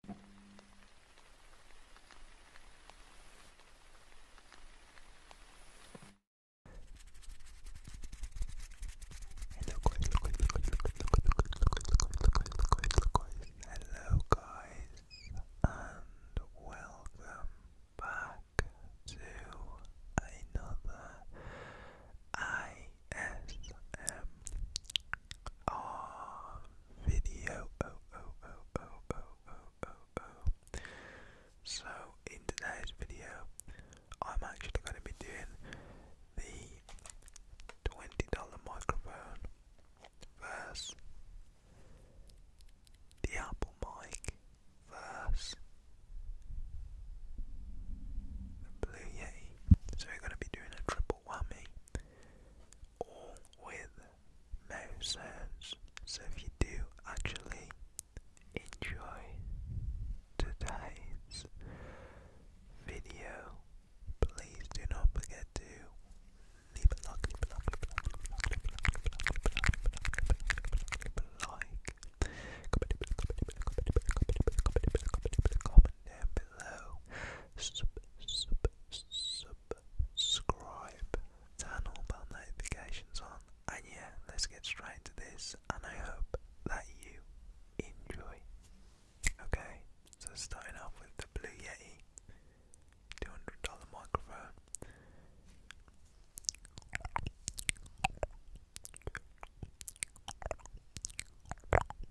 Hello guys, hello guys, hello guys, and welcome back to another ISM Ah, video. Oh, oh, oh, so, in today's video, I'm actually going to be doing the $20 microphone versus the Apple mic versus the Blue Yeti. So, we're going to be doing a triple whammy or with no sounds. So if you do actually enjoy today's video, please do not forget to leave a like, comment down below sub, sub, subscribe, turn all bell notifications on, and yeah, let's get straight into this. And I hope that you enjoy. Okay, so starting off with the Blue Yeti $200 microphone.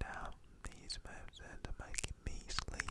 Now these moves are making me sleepy.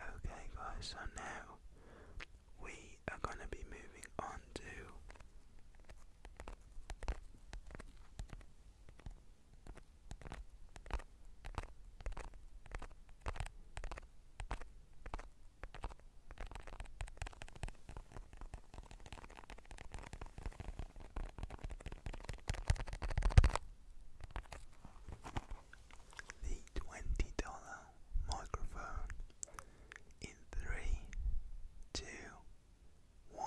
Okay, guys, so now we are going to be moving on to the twenty dollar microphone in three, two, one.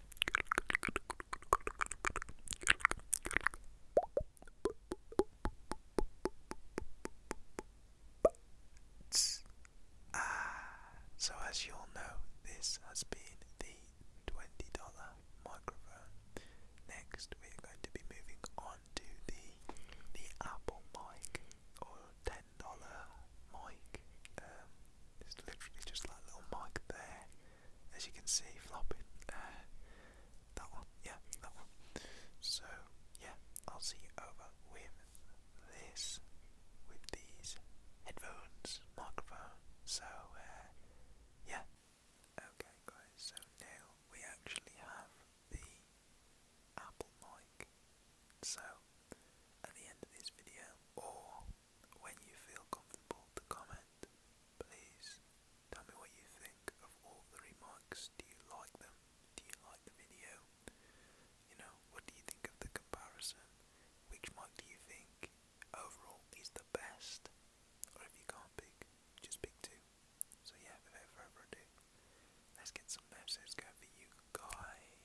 so as you all know, this has been the twenty dollar microphone. Next, we're going to be moving on to the the Apple mic or ten dollar mic. Um, it's literally just like little mic there, as you can see flopping. Uh, that one, yeah, that one. So yeah, I'll see you over with this, with these headphones, microphone. So uh, yeah. Okay, guys. So now we actually have the Apple mic. So at the end of this video or when you feel comfortable to comment. Please tell me what you think of all the remarks. Do you like them? Do you like the video? You know, what do you think of the comparison? Which mug do you think overall is the best? Or if you can't pick, just pick two. So yeah, without further let's get some episodes going for you guys.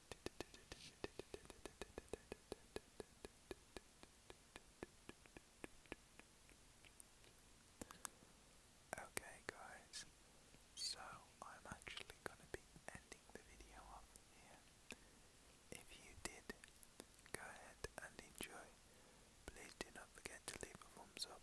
Okay, guys, so I'm actually going to be ending the video off here. If you did, go ahead and enjoy. Please do not forget to leave a thumbs up